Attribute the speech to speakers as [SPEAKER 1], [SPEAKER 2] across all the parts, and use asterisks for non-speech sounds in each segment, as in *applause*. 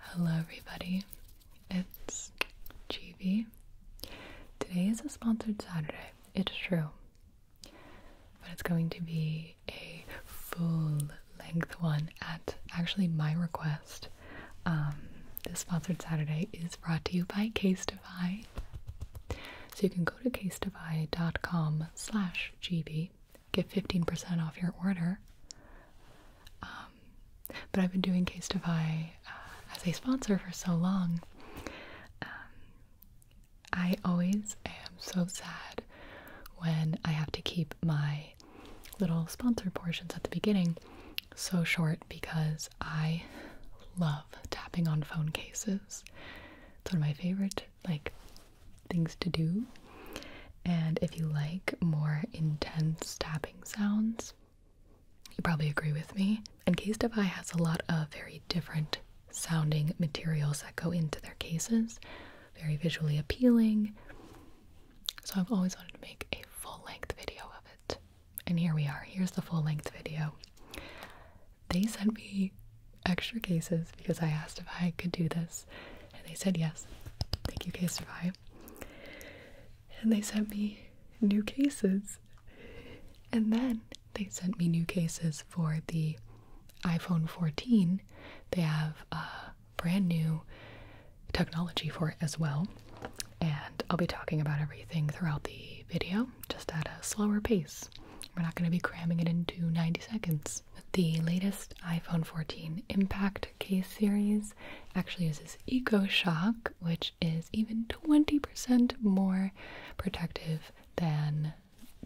[SPEAKER 1] Hello, everybody. It's GB. Today is a sponsored Saturday. It's true. But it's going to be a full length one at actually my request. Um, this sponsored Saturday is brought to you by Case Casetify. So you can go to casetify.com slash GB, get 15% off your order. Um, um, but I've been doing Case Defy uh, as a sponsor for so long. Um, I always am so sad when I have to keep my little sponsor portions at the beginning so short because I love tapping on phone cases. It's one of my favorite like things to do and if you like more intense tapping sounds, you probably agree with me. And Case Defy has a lot of very different sounding materials that go into their cases, very visually appealing. So I've always wanted to make a full length video of it. And here we are. Here's the full length video. They sent me extra cases because I asked if I could do this, and they said yes. Thank you, Case Defy. And they sent me new cases. And then they sent me new cases for the iPhone 14. They have a brand new technology for it as well. And I'll be talking about everything throughout the video, just at a slower pace. We're not going to be cramming it into 90 seconds. The latest iPhone 14 impact Case Series actually uses EcoShock, which is even 20% more protective than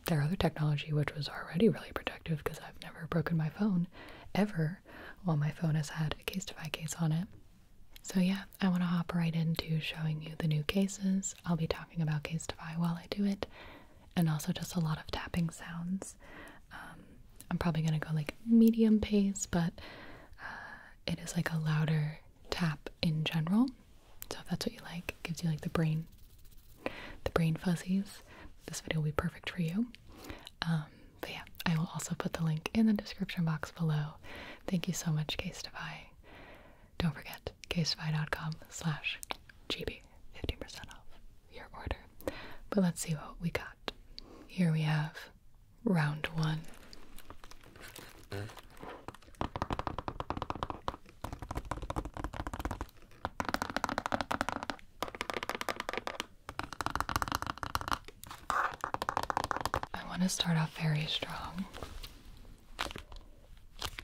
[SPEAKER 1] their other technology, which was already really protective because I've never broken my phone ever while my phone has had a Casetify case on it. So, yeah, I want to hop right into showing you the new cases. I'll be talking about Casetify while I do it, and also just a lot of tapping sounds. Um, I'm probably gonna go like medium pace, but uh, it is like a louder tap in general. So if that's what you like, gives you like the brain, the brain fuzzies. This video will be perfect for you. Um, but yeah, I will also put the link in the description box below. Thank you so much, Casetify. Don't forget, casetify.com slash GB, 15% off your order. But let's see what we got. Here we have round one. I want to start off very strong.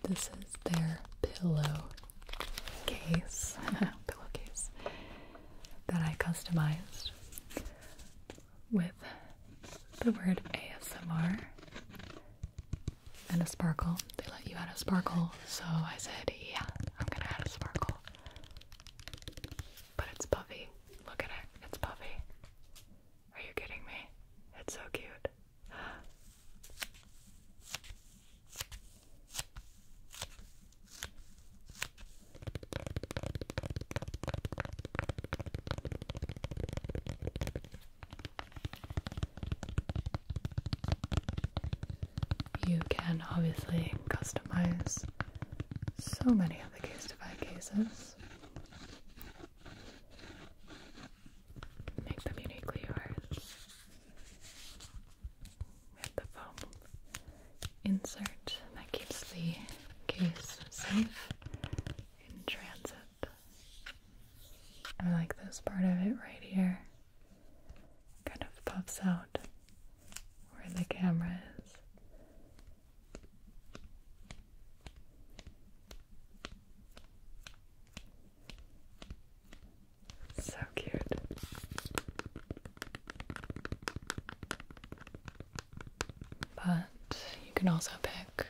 [SPEAKER 1] This is their pillow case, *laughs* pillowcase that I customized with the word ASMR and a sparkle. They let you add a sparkle, so I said, yeah, I'm gonna add a sparkle. But it's puffy. Look at it. It's puffy. Are you kidding me? It's so cute. You can obviously customize so many of the case to cases. Make them uniquely yours the foam insert that keeps the case safe in transit. I like this part of it right here. Kind of puffs out where the camera is. So cute. But you can also pick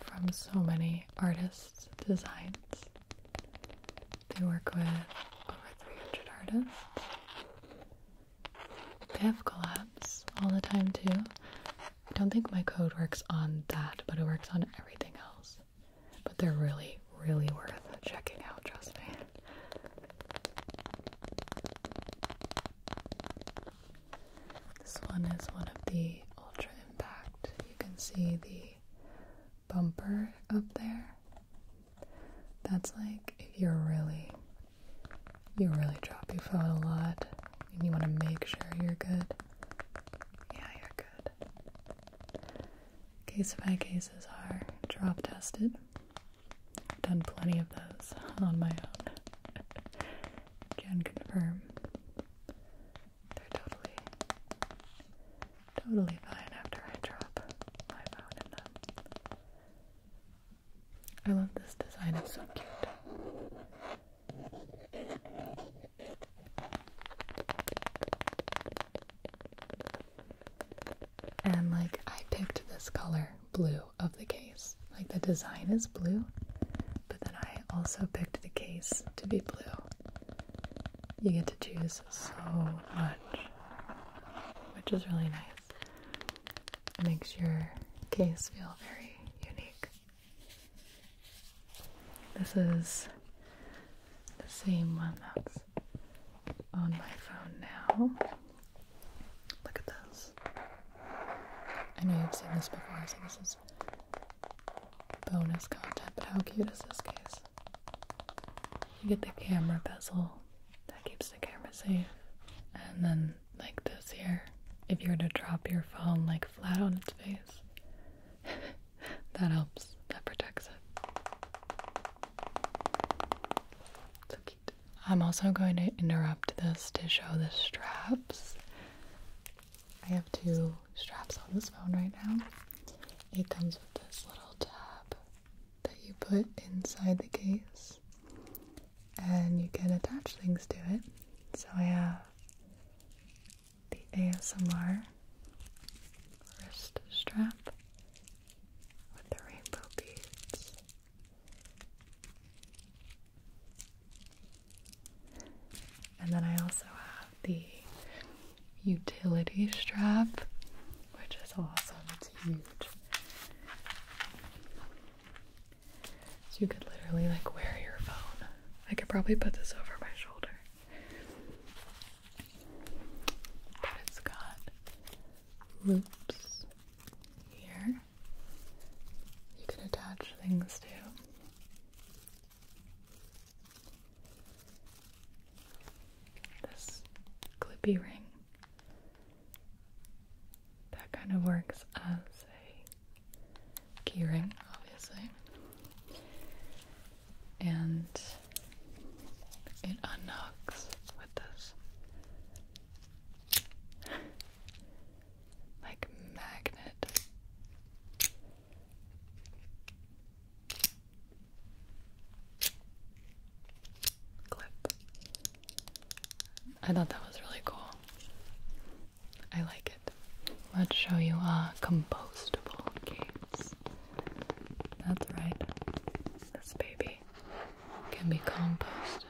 [SPEAKER 1] from so many artists' designs. They work with over 300 artists. They have collabs all the time, too. I don't think my code works on that, but it works on everything else. But they're really, really worth checking out, trust me. This one is one of the Ultra Impact. You can see the bumper up there. That's like if you're really, you really drop your phone a lot and you want to make sure you're good. Yeah, you're good. Case by cases are drop tested. I've done plenty of those on my own. *laughs* Can confirm they're totally, totally fine after I drop my phone I love this design, it's so cute. And like I picked this color blue of the case. Like the design is blue, but then I also picked the case to be blue. You get to choose so much, which is really nice. It makes your case feel very unique. This is the same one that's on my phone now. Look at this. I know you've seen this before, so this is bonus content, but how cute is this case? You get the camera bezel that keeps the camera safe, and then, like this here, if you were to drop your phone like flat on its face, *laughs* that helps, that protects it. I'm also going to interrupt this to show the straps. I have two straps on this phone right now. It comes with this little tab that you put inside the case and you can attach things to it. So I have the ASMR wrist strap with the rainbow beads. And then I also have the utility strap, which is awesome. It's huge. So you could literally like wear your phone. I could probably put this over my shoulder. But it's got loops here. You can attach things to. This clippy ring that kind of works as a key obviously. And it unhooks with this. like magnet. Clip. I thought that was really cool. I like it. Let's show you a uh, compostable games. That's right. This baby can be composted.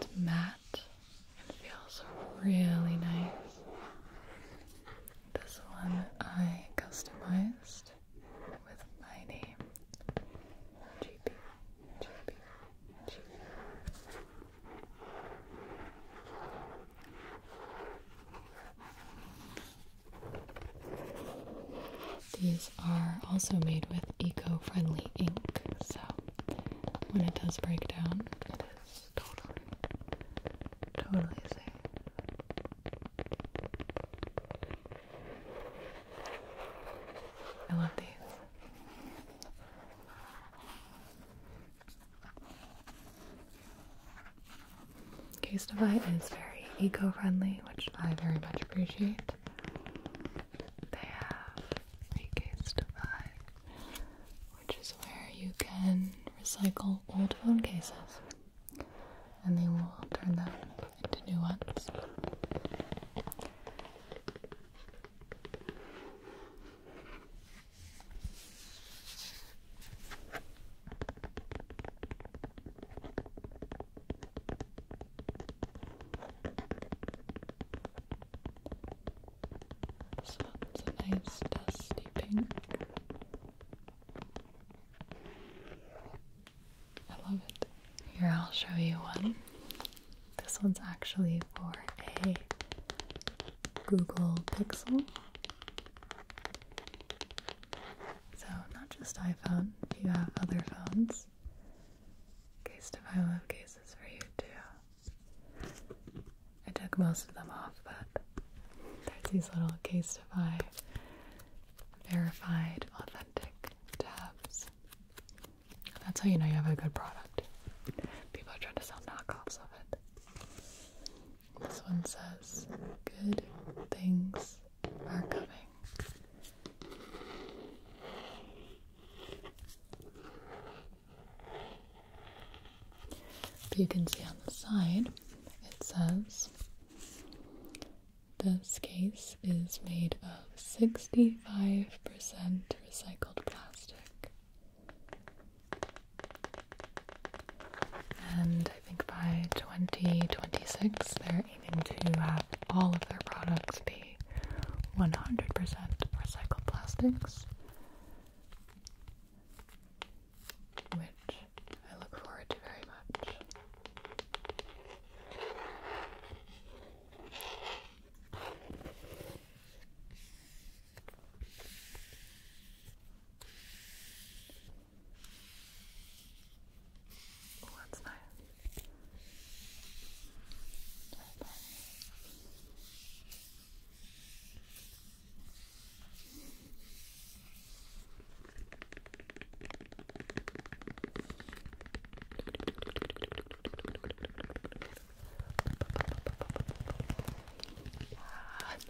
[SPEAKER 1] It's matte and feels really nice. This one I customized with my name. GP, these are also made with eco-friendly ink, so when it does break down, it is totally, totally safe. I love these. Case Divide is very eco-friendly, which I very much appreciate. They have Case Divide, which is where you can recycle old phone cases, and they will turn them into new ones. This one's a nice dusty pink. I love it. Here, I'll show you one. This one's actually for a Google Pixel. So, not just iPhone, do you have other phones? Case to file have cases for you too. I took most of them off, but there's these little case to buy verified authentic tabs. That's how you know you have a good product. People are trying to sell knockoffs of it. This one says, Good things are coming. But you can see on the side, it says, this case is made of 65% recycled plastic. And I think by 2026, they're aiming to have all of their products be 100% recycled plastics, which I look forward to very much. Oh, that's nice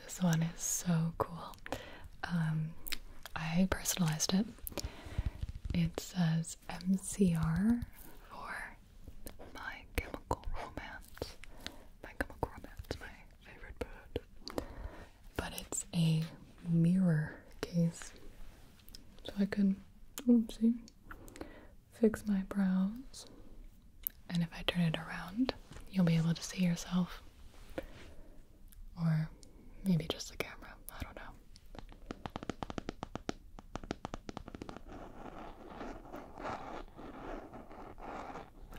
[SPEAKER 1] this one is so cool. Um, I personalized it. It says MCR for My Chemical Romance. My Chemical Romance, my favorite bird. But it's a mirror case. So I can, oopsie, fix my brows and if I turn it around, you'll be able to see yourself. Or maybe just the camera. I don't know.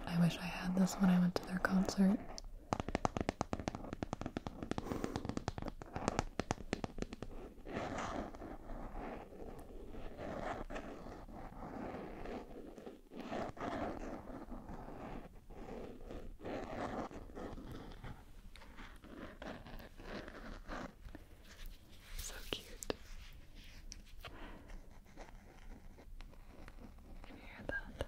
[SPEAKER 1] I wish I had this when I went to their concert. So cute. Can you hear that?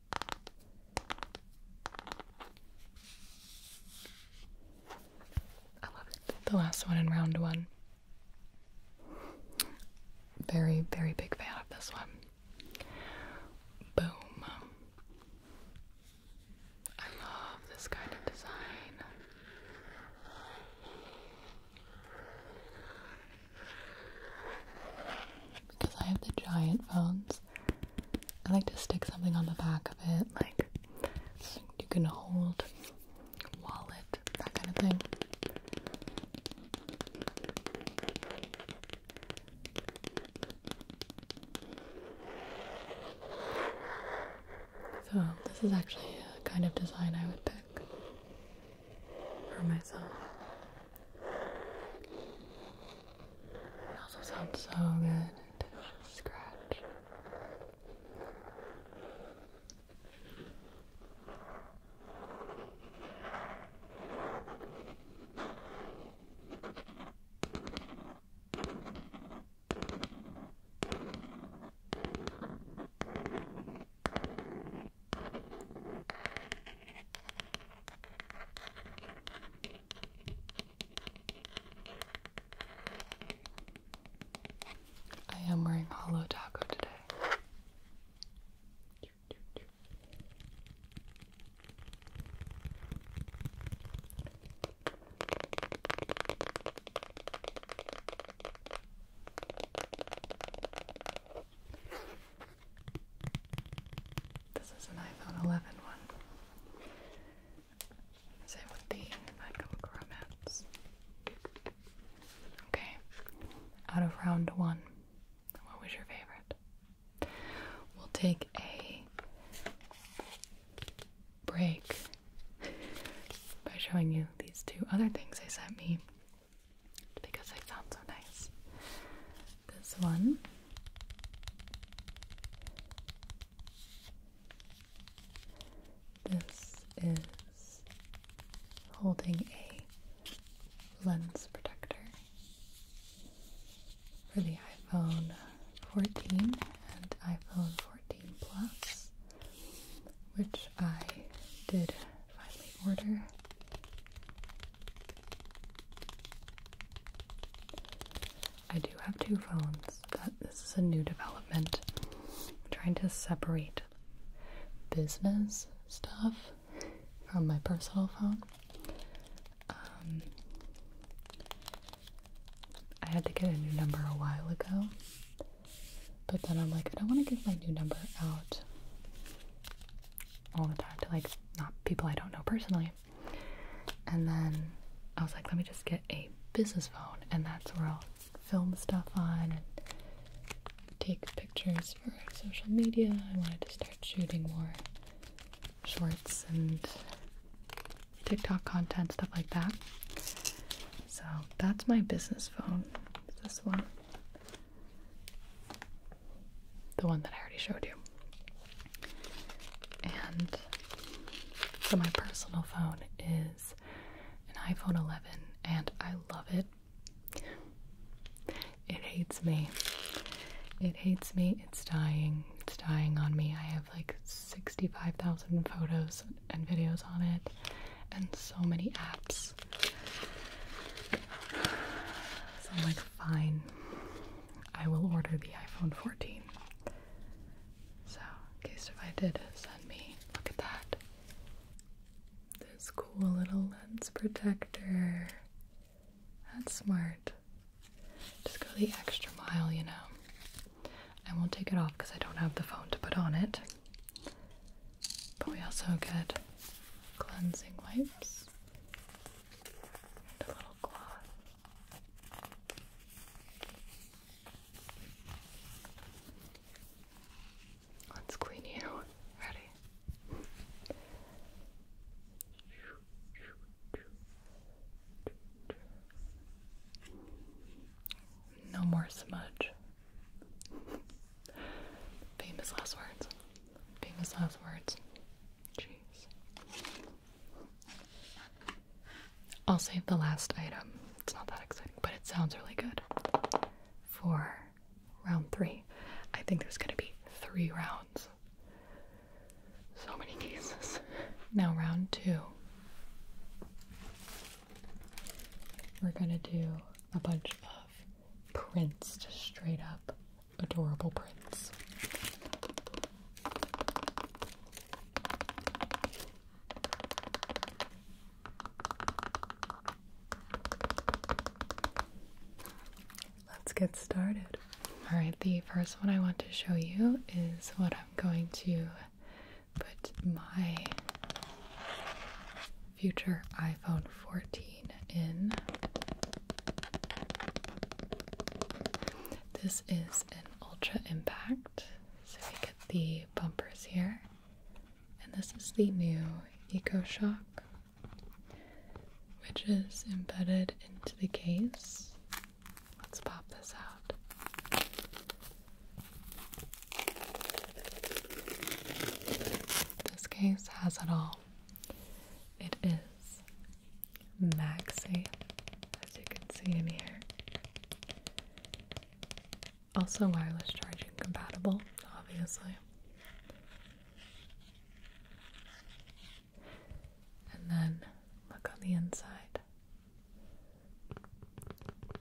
[SPEAKER 1] I love it. The last one in round one. Very, very big fan of this one. Boom. I love this kind of design. Because I have the giant phones, I like to stick something on the back of it, like you can hold wallet, that kind of thing. So this is actually a kind of design I would pick for myself. It also sounds so good to scratch. All I am wearing hollow taco today. This is an iPhone 11 one. Same with the My Romance. Okay, out of round one, what was your favorite? We'll take a break by showing you these two other things they sent me because they sound so nice this one. This is holding a lens protector for the iPhone 14 and iPhone 14 Plus, which I did finally order I do have two phones. That this is a new development. trying to separate business stuff from my personal phone. Um, I had to get a new number a while ago, but then I'm like, I don't want to give my new number out all the time to like not people I don't know personally. And then I was like, let me just get a business phone, and that's where I'll film stuff on and take pictures for social media. I wanted to start shooting more shorts and TikTok content, stuff like that. So that's my business phone. This one. The one that I already showed you. And so my personal phone is an iPhone 11 and I love it. It hates me. It hates me. It's dying. It's dying on me. I have like 65,000 photos and videos on it and so many apps. So I'm like, fine. I will order the iPhone 14. So, in case if I did send me, look at that. This cool little lens protector. That's smart. Just go the extra mile, you know. I won't take it off because I don't have the phone to put on it. But we also get cleansing wipes Let's clean you. Ready? No more smudge. Famous last words. Famous last words. Jeez. I'll save the last item. It's not that exciting, but it sounds really good for round three. I think there's going to be three rounds. So many cases. Now, round two. We're going to do a bunch of prints, straight up adorable prints. Let's get started. All right, the first one I want to show you is what I'm going to put my future iPhone 14 in. This is an Ultra Impact. So we get the bumpers here. And this is the new Eco Shock, which is embedded into the case. Let's pop this out. This case has it all. It is Maxi, as you can see in here. Also wireless charging compatible, obviously. And then look on the inside.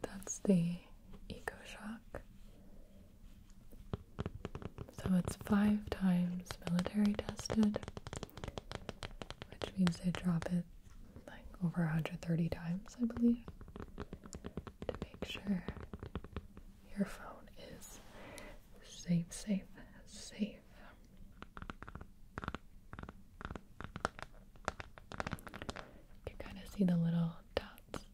[SPEAKER 1] That's the EcoShock. So it's five times military tested which means they drop it like over 130 times, I believe, to make sure your phone is safe, safe, safe. You kind of see the little dots.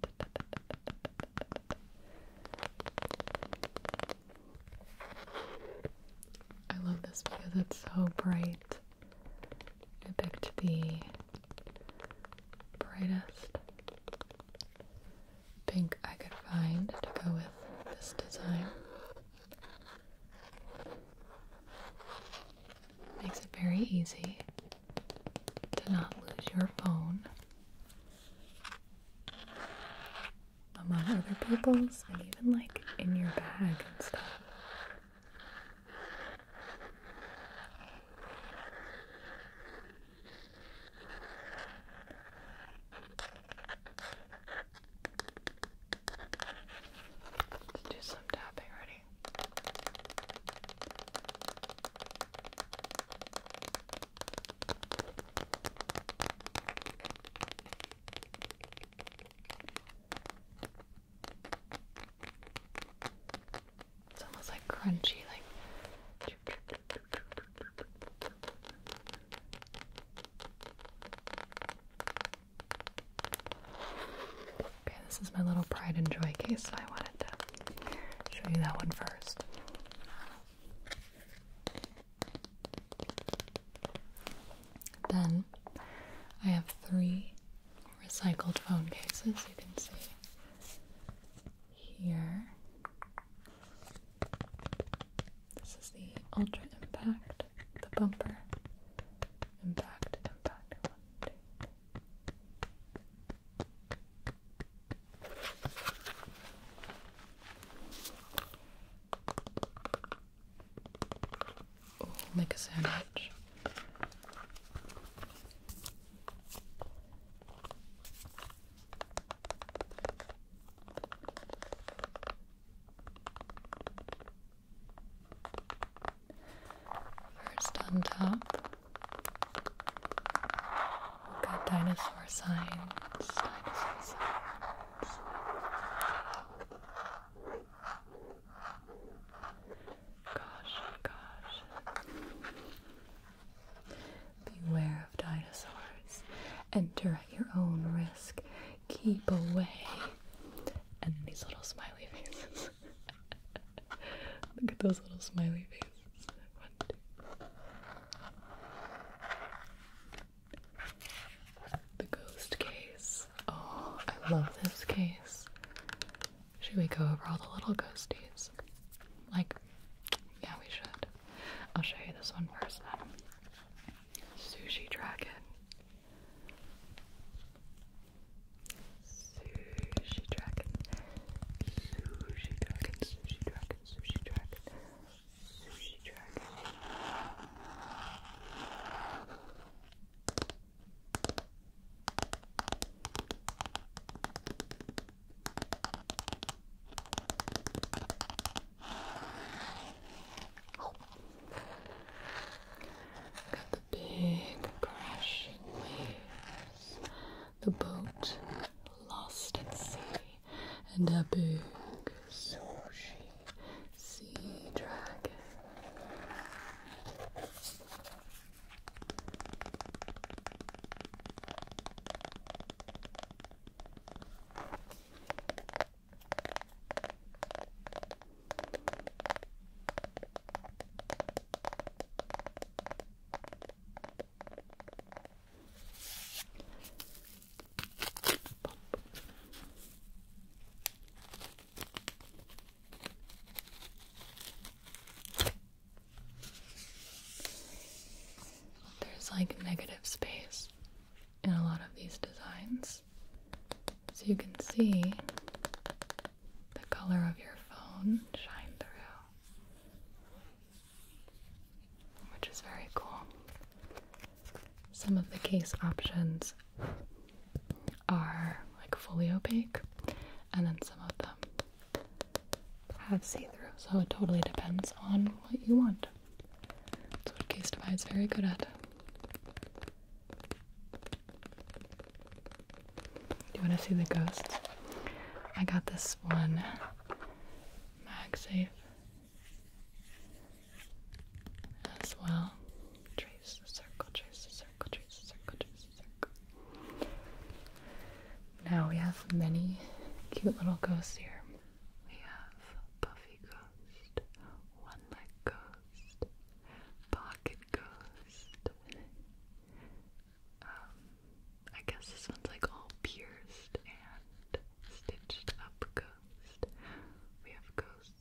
[SPEAKER 1] I love this because it's so bright. I picked the brightest pink I could find to go with this design. Makes it very easy to not lose your phone among other people's and even like in your bag and stuff. Let's do some tapping ready. It's almost like crunchy, like. Okay, this is my little pride and joy case, so I wanted to show you that one first. Then I have three recycled phone cases you can see here. This is the Ultra Impact, the bumper impact, impact make a sandwich. First on top, we've got dinosaur sign. Gosh, gosh. Beware of dinosaurs. Enter at your own risk. Keep away. And these little smiley faces. *laughs* Look at those little smiley faces. One, two. The ghost case. Oh, I love this case. Should we go over all the little ghosties? Like, yeah, we should. I'll show you this one first then. Um, sushi Dragon. Sushi Dragon. Sushi Dragon, Sushi Dragon, Sushi Dragon. Got the big crashing waves. The boat lost at sea, and a big sushi sea dragon. There's like negative space in a lot of these designs. So you can see the color of your phone shine through, which is very cool. Some of the case options are like fully opaque, and then some of them have see through. So it totally depends on what you want. That's what Case Defy is very good at. Do you want to see the ghost? I got this one MagSafe as well. Trace the circle, trace the circle, trace the circle, trace the circle. Now we have many cute little ghosts here. We have Puffy Ghost, One Leg Ghost, Pocket Ghost. Um, I guess this one's like all pierced and stitched up ghost. We have ghost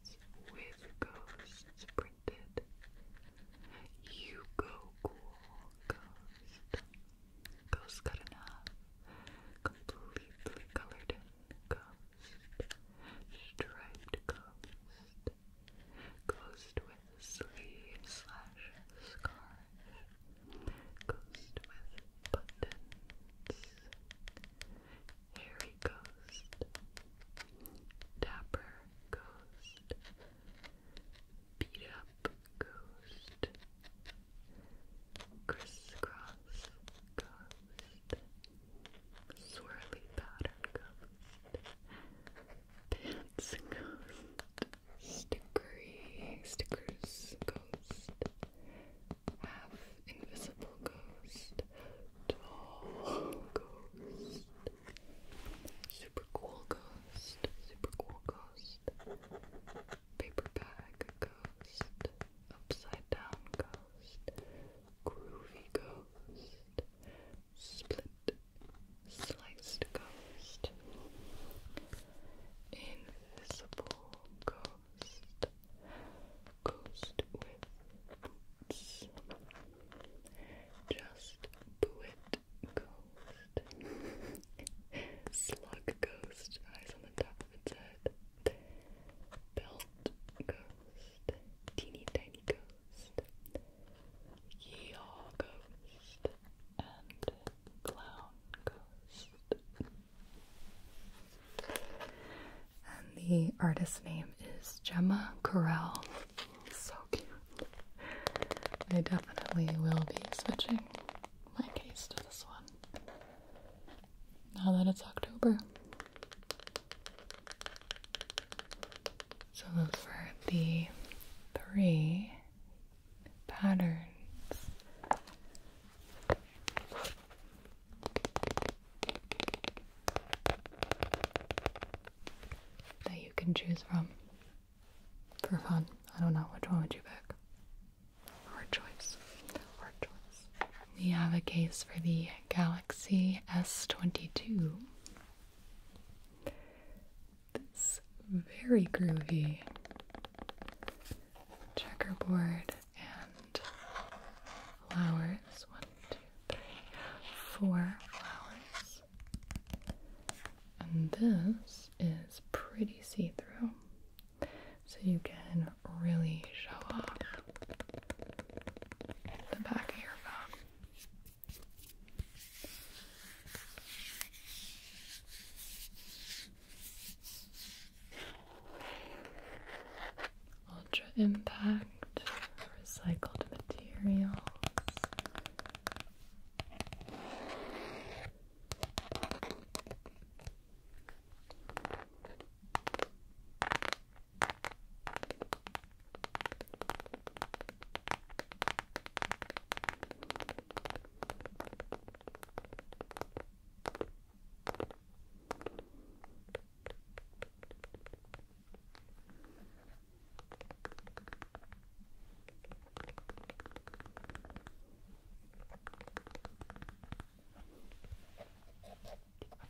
[SPEAKER 1] with ghosts printed. You go cool, ghost. Ghosts got enough. Completely colored in ghost. Striped ghost. Ghost with sleeve slash scarf. Ghost with buttons. Hairy Ghost, Dapper Ghost, Beat Up Ghost, Crisscross Ghost, Swirly Pattern Ghost, Pants Ghost, Stickery Stickers Ghost, Half Invisible Ghost, tall ghost. Super cool ghost. Super cool ghost. Paper bag ghost. Upside down ghost. Groovy ghost. Split. Sliced ghost. Invisible ghost. Coast. Coast with boots. Just Buit Coast. *laughs* Slug Coast. Eyes on the top of its head. Belt Coast. Teeny Tiny Coast. Yaw Ghost and Clown Ghost. And the artist's name is Gemma Corell. So cute. I definitely will be switching my case to this one. Now that it's October. So those were the three patterns that you can choose from for fun. I don't know which one would you pick. Hard choice. Hard choice. We have a case for the Galaxy S22. This very groovy checkerboard and flowers. One, two, three, four flowers. And this is pretty see through, so you can really show off the back of your phone. Ultra Impact, recycled materials.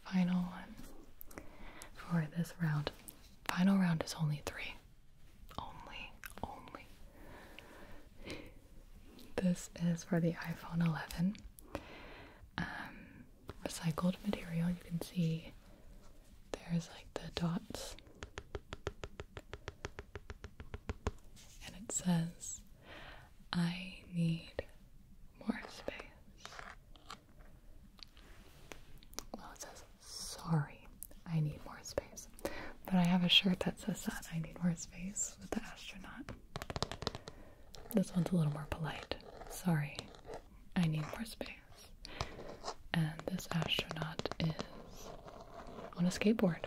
[SPEAKER 1] Final one for this round. Final round is only three. Only, only. This is for the iPhone 11. Um, recycled material. You can see there's like the dots. And it says, I need more space. Well, it says, sorry, I need more space. But I have a shirt that says that I need more space with the astronaut. This one's a little more polite. Sorry, I need more space. And this astronaut is on a skateboard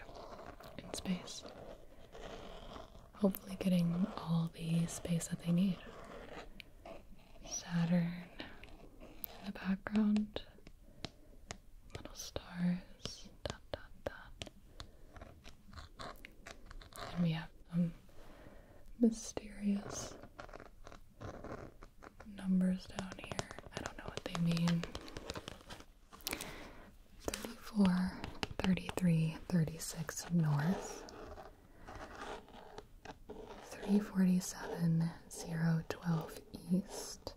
[SPEAKER 1] in space. Hopefully, getting all the space that they need. Saturn in the background, little stars, dot dot dot. And we have mysterious numbers down here. I don't know what they mean. 34, 33, 36 north. 347, 012 east.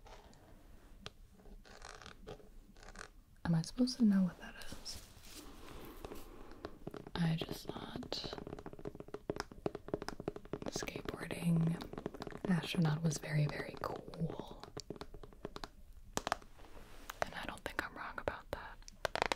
[SPEAKER 1] Am I supposed to know what that is? I just thought skateboarding astronaut was very, very cool. And I don't think I'm wrong about that.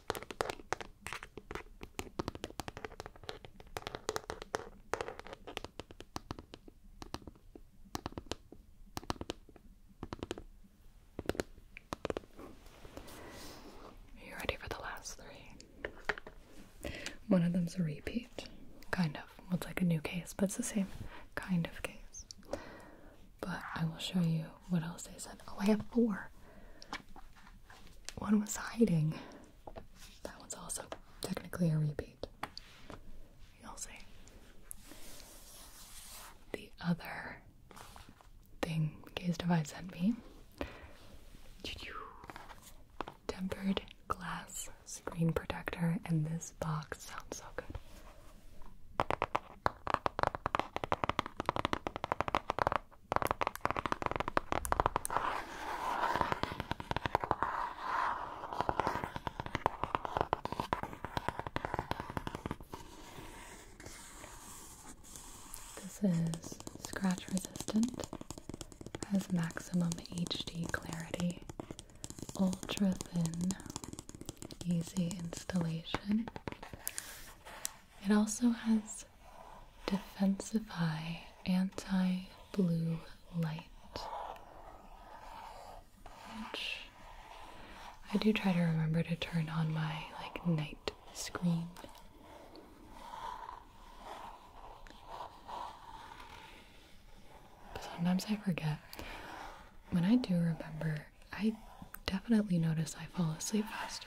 [SPEAKER 1] Are you ready for the last three? One of them's a repeat. Kind of. Well, it's like a new case, but it's the same kind of case. But I will show you what else is it? Oh, I have four. One was hiding. That one's also technically a repeat. You'll see. The other thing Gaze Divide sent me tempered glass screen protector, and this box sounds so good. This is scratch resistant, has maximum HD clarity, ultra thin, easy installation, it also has Defensify anti blue light. Which I do try to remember to turn on my like night screen. But sometimes I forget. When I do remember, I definitely notice I fall asleep faster.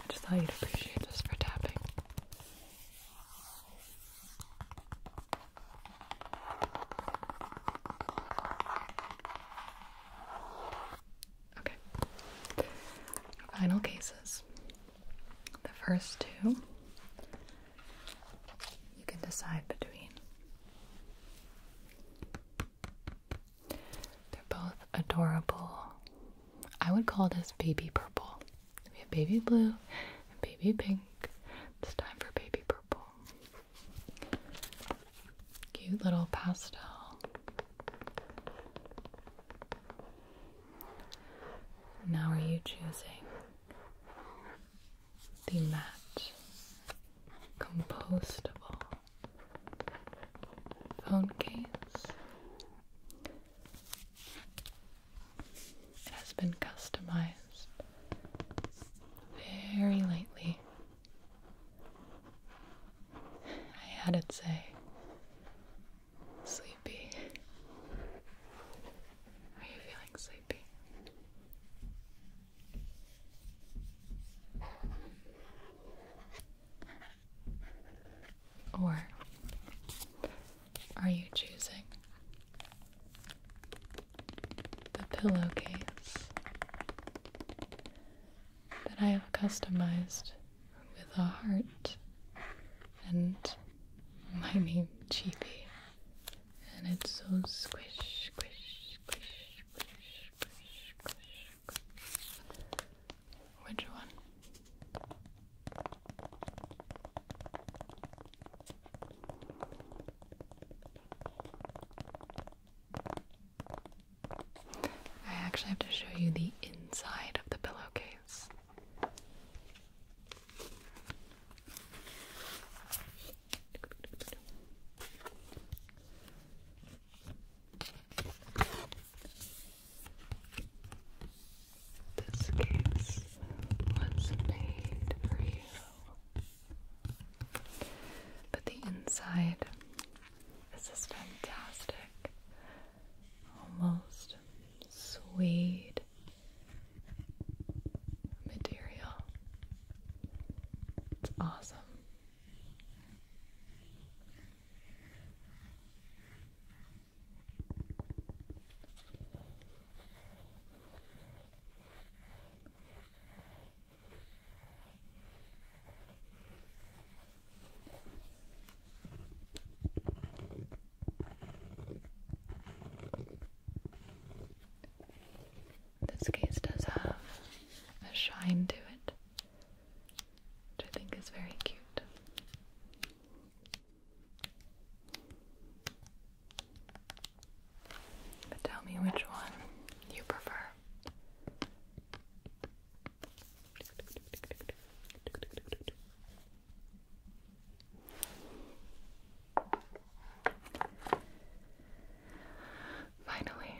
[SPEAKER 1] I just thought you'd appreciate this for tapping. Okay. Final cases. The first two you can decide between. They're both adorable. I would call this baby purple. We have baby blue and baby pink. It's time for baby purple. Cute little pastel. Now, are you choosing the matte, compostable phone case? It has been customized very lightly. I had it say Sleepy. Are you feeling sleepy? Or are you choosing the pillowcase that I have customized with a heart and my slimy cheapy. And it's so squish, squish, squish, squish, squish, squish, squish. Which one? I actually have to show you the inside of the pillowcase. This case was made for you, but the inside is this fantastic almost suede material. It's awesome. This case does have a shine to it, which I think is very cute. But tell me which one you prefer. Finally,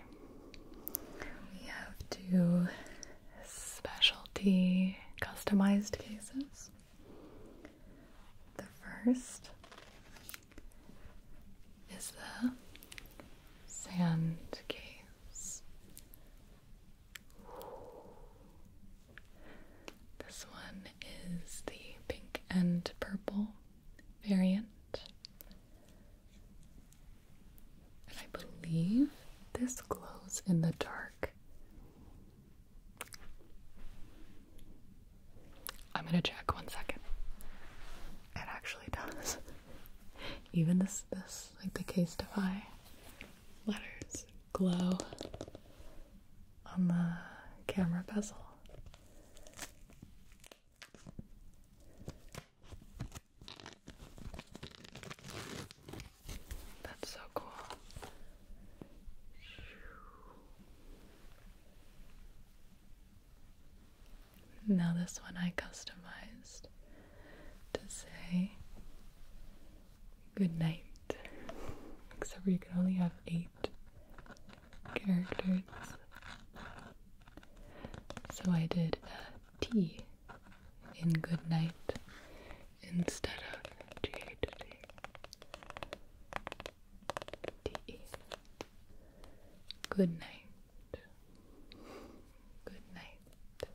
[SPEAKER 1] we have two specialty customized cases. The first is the sand case. This one is the pink and purple variant. I believe this glows in the dark. I'm gonna check one second. It actually does. *laughs* Even this, this, like the case defy letters glow on the camera bezel. That's so cool. Now, this one I customized to say good night. Except for you can only have eight characters. So I did a T in good night instead of G A T T. T. Good night. Good night.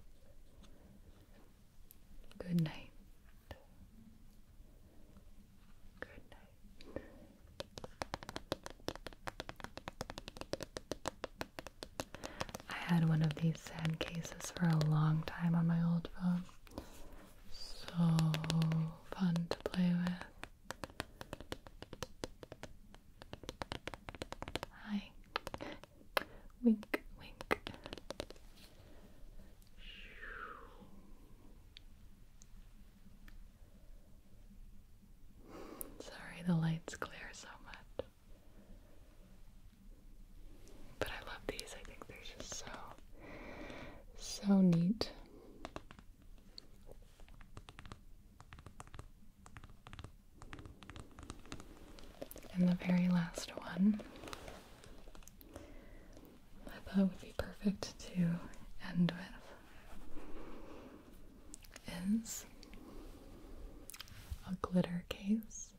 [SPEAKER 1] Good night. Good night. I had one of these sand for a long time on my old phone. So fun to play with. Hi. Wink, wink. Sorry, the lights glare so much. But I love these. I think they're just so, so neat. And the very last one I thought would be perfect to end with is a glitter case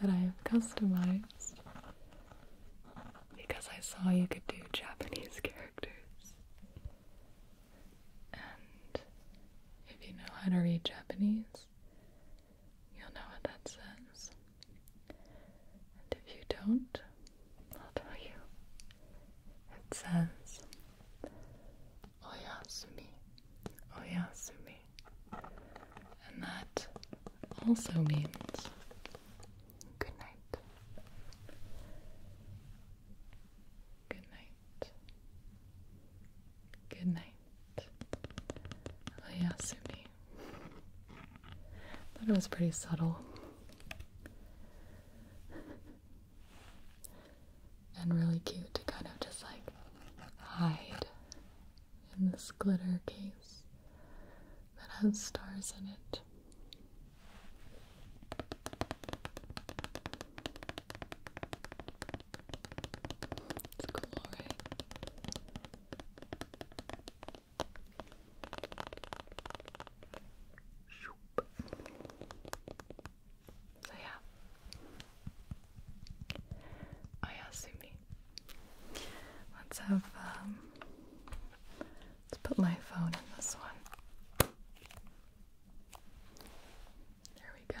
[SPEAKER 1] that I have customized because I saw you could do Japanese *laughs* characters. And if you know how to read Japanese, You'll know what that says. And if you don't, I'll tell you. It says Oyasumi. Oyasumi. And that also means good night. Good night. Good night. Oyasumi. Oh, Thought it was pretty subtle. and really cute to kind of just like hide in this glitter case that has stars in it. So yeah, oh, Ayasumi. Let's have, um, let's put my phone in this one. There we go.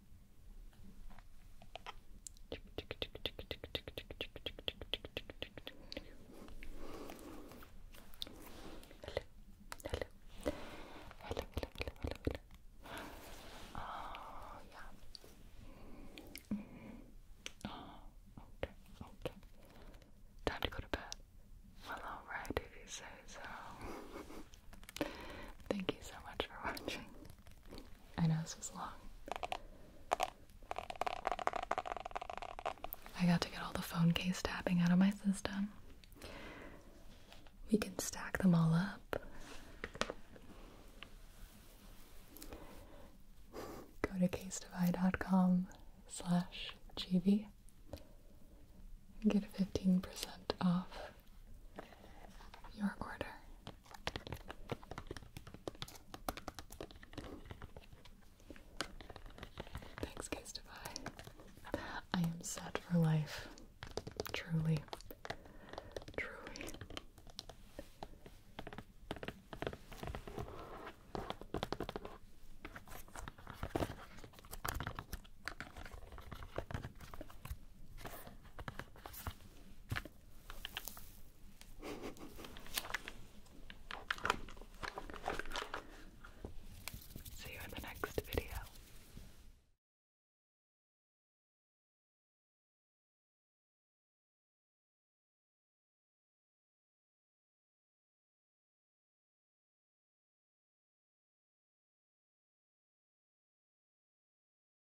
[SPEAKER 1] hello, hello, hello, hello, hello. Oh, yeah. Oh, okay, okay. Time to go to bed. Well, alright, if you say so. Thank you so much for watching. I know this was long. I got to get all the phone case tapping out of my system. We can stack them all up. Go to casedify.com slash GB and get 15% off your order. Thanks, guys, I am sad for life. Truly. Truly. *laughs* See you in the next video.